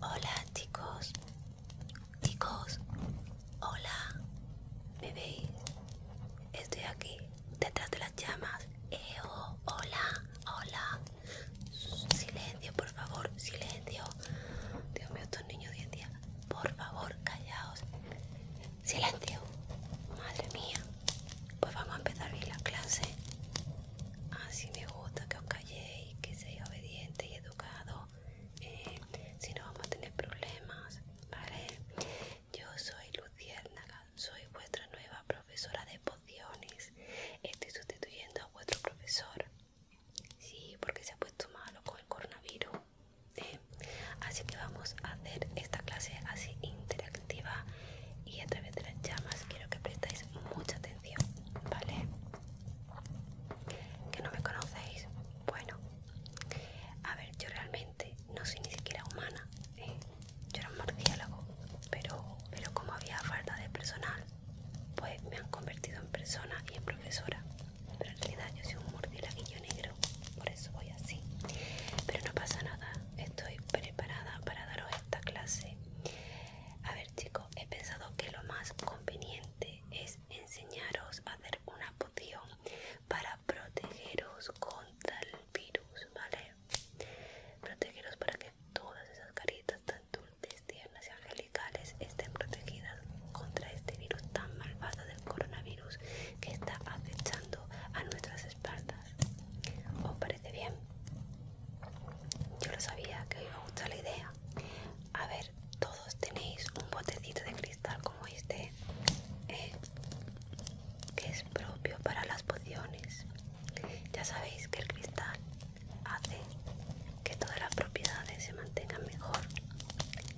Hola chicos, Chicos, hola, bebé, Estoy aquí, detrás de las llamas. Eo, hola, hola. Silencio, por favor, silencio. Dios mío, estos niños de en día. Por favor, callaos. Silencio. Madre mía. Pues vamos a empezar bien la clase. Así me gusta que os calléis, que seáis obedientes y educados. Eh, si no vamos a tener problemas, ¿vale? Yo soy Luciérnaga, soy vuestra nueva profesora de pociones. Estoy sustituyendo a vuestro profesor. Sí, porque se ha puesto malo con el coronavirus. Eh, así que vamos a hacer esta clase así interactiva y a través de las llamas quiero que prestéis mucha atención, ¿vale? que no me conocéis. Bueno, a ver, yo realmente no soy ni siquiera humana. ¿eh? Yo era un pero, pero como había falta de personal, pues me han convertido en persona y en profesora. Pero en realidad yo soy un murciélaguillo negro, por eso voy así. Pero no pasa nada, estoy preparada para daros esta clase. A ver chicos, he pensado que lo más conveniente es enseñaros a hacer una poción para protegeros contra el virus, ¿vale? Protegeros para que todas esas caritas tan dulces, tiernas y angelicales estén protegidas contra este virus tan malvado del coronavirus que está acechando a nuestras espaldas. ¿Os parece bien? Yo lo sabía que os iba a gustar la idea. A ver, todos tenéis un botecito de cristal como este, eh, que es propio para las pociones. Ya sabéis que el cristal hace que todas las propiedades se mantengan mejor.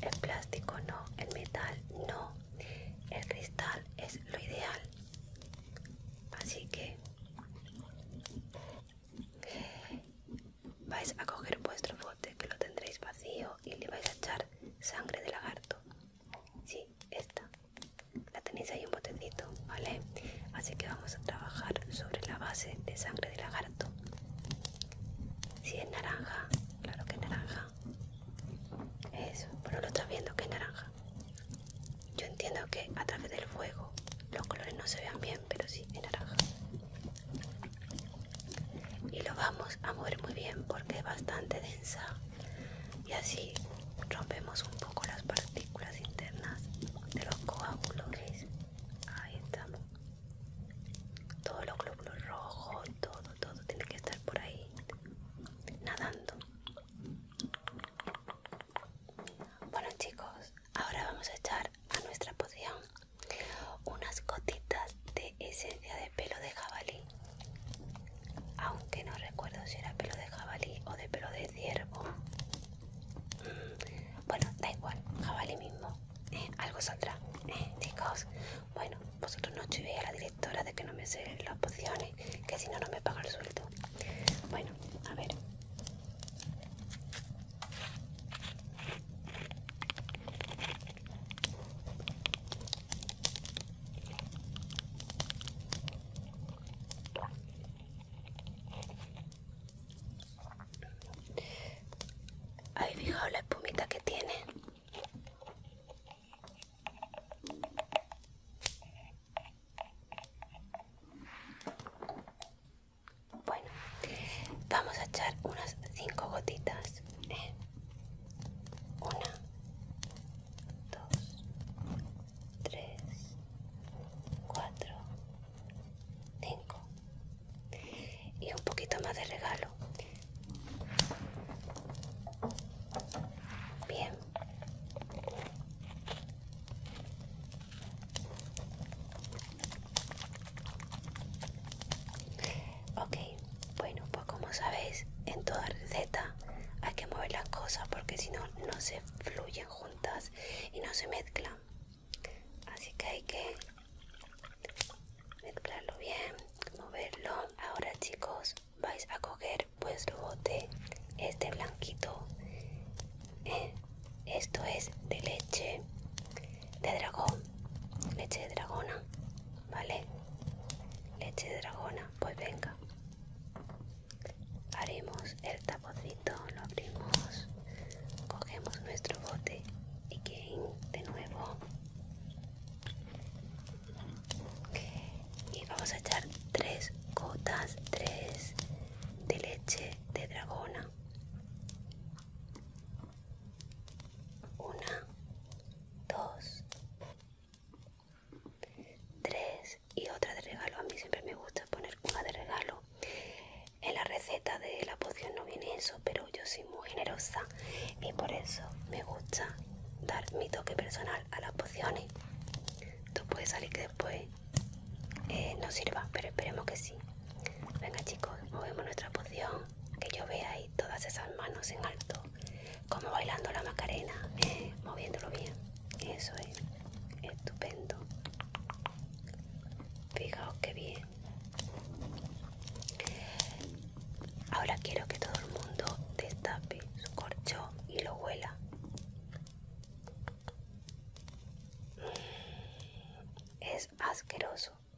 El plástico no, el metal no. El cristal es lo ideal. Así que Vais a coger vuestro bote, que lo tendréis vacío, y le vais a echar sangre de lagarto. Sí, esta. La tenéis ahí un botecito, ¿vale? Así que vamos a trabajar sobre la base de sangre de lagarto. Si es naranja, claro que es naranja. Eso, pero lo está viendo que es naranja. Yo entiendo que a través del fuego los colores no se vean bien pero sí de naranja. Y lo vamos a mover muy bien porque es bastante densa y así rompemos un poco las partículas internas de los coágulos. Ahí estamos. Todos los glóbulos rojos, todo, todo tiene que estar por ahí nadando. Bueno chicos, ahora vamos a echar a nuestra poción unas gotitas de esencia de pelo de jabalí aunque no recuerdo si era pelo de jabalí o de pelo de ciervo bueno da igual jabalí mismo eh, algo saldrá eh, chicos bueno vosotros no chivéis a la directora de que no me sé las pociones que si no no me paga el sueldo bueno a ver ¿Habéis fijado la espumita que tiene? Bueno, vamos a echar unas cinco gotitas. ¿eh? Una, dos, tres, cuatro, cinco. Y un poquito más de regalo. Bien. Ok, bueno, pues como sabéis, en toda receta hay que mover las cosas porque si no, no se fluyen juntas y no se mezclan. Así que hay que mezclarlo bien, moverlo. Ahora, chicos, vais a coger vuestro bote, este blanquito. Eh, esto es de leche de dragón, leche de dragona, ¿vale? Leche de dragona, pues venga. Haremos el tapocito, lo abrimos, cogemos nuestro bote y game de nuevo. Y vamos a echar tres gotas, tres de leche de dragona una, dos, tres y otra de regalo. A mí siempre me gusta poner una de regalo. En la receta de la poción no viene eso, pero yo soy muy generosa y por eso me gusta dar mi toque personal a las pociones. Tú puedes salir que después eh, no sirva, pero esperemos que sí. Venga chicos, movemos nuestra poción que yo vea ahí todas esas manos en alto, como bailando la macarena, eh, moviéndolo bien. Eso es estupendo. Fijaos qué bien. Ahora quiero que todo el mundo destape su corcho y lo huela. Es asqueroso.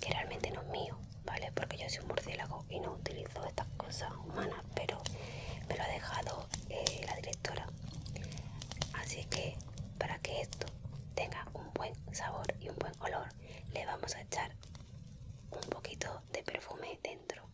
que realmente no es mío, ¿vale? Porque yo soy un murciélago y no utilizo estas cosas humanas, pero me lo ha dejado eh, la directora. Así que para que esto tenga un buen sabor y un buen olor, le vamos a echar un poquito de perfume dentro.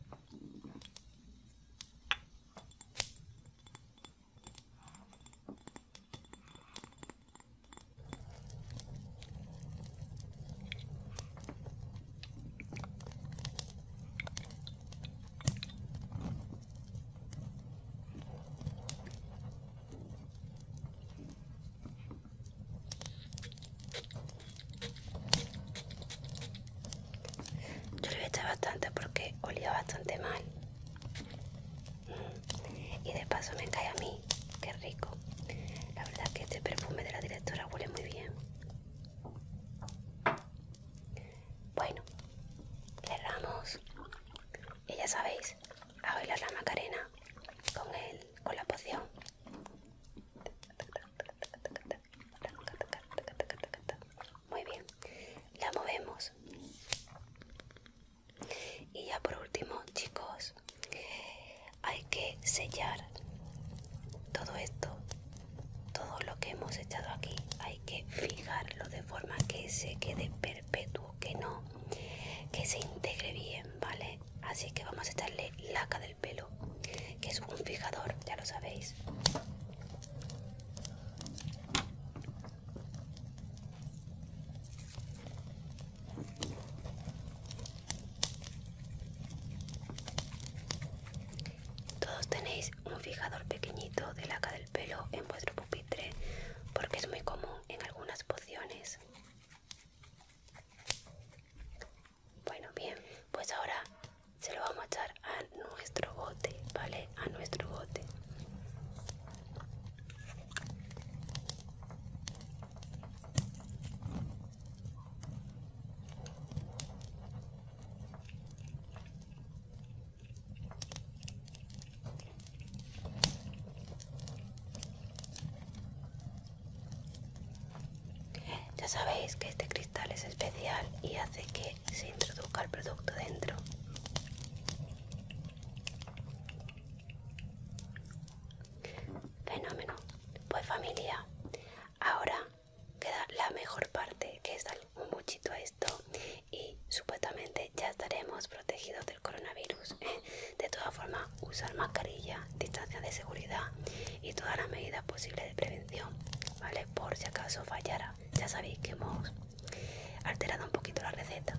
Yo lo eché bastante porque olía bastante mal. Y de paso me cae a mí, qué rico. La verdad que este perfume de la directora huele muy bien. Bueno, cerramos. Y ya sabéis, a bailar la macarena con con la poción. Muy bien, la movemos y ya por último chicos hay que sellar todo esto todo lo que hemos echado aquí hay que fijarlo de forma que se quede perpetuo que no que se integre bien vale así que vamos a echarle laca del pelo que es un fijador ya lo sabéis todos tenéis un fijador pequeñito de laca del pelo en vuestro pupitre porque es muy común en algunas pociones. Bueno, bien, pues ahora se lo vamos a echar a nuestro bote, ¿vale? A nuestro bote. Ya sabéis que este cristal es especial y hace que se introduzca el producto dentro. Fenómeno. Pues familia, ahora queda la mejor parte que es dar un buchito a esto y supuestamente ya estaremos protegidos del coronavirus. ¿eh? De todas formas, usar mascarilla, distancia de seguridad y todas las medidas posibles de prevención, ¿vale? Por si acaso fallara. Ya sabéis que hemos alterado un poquito la receta.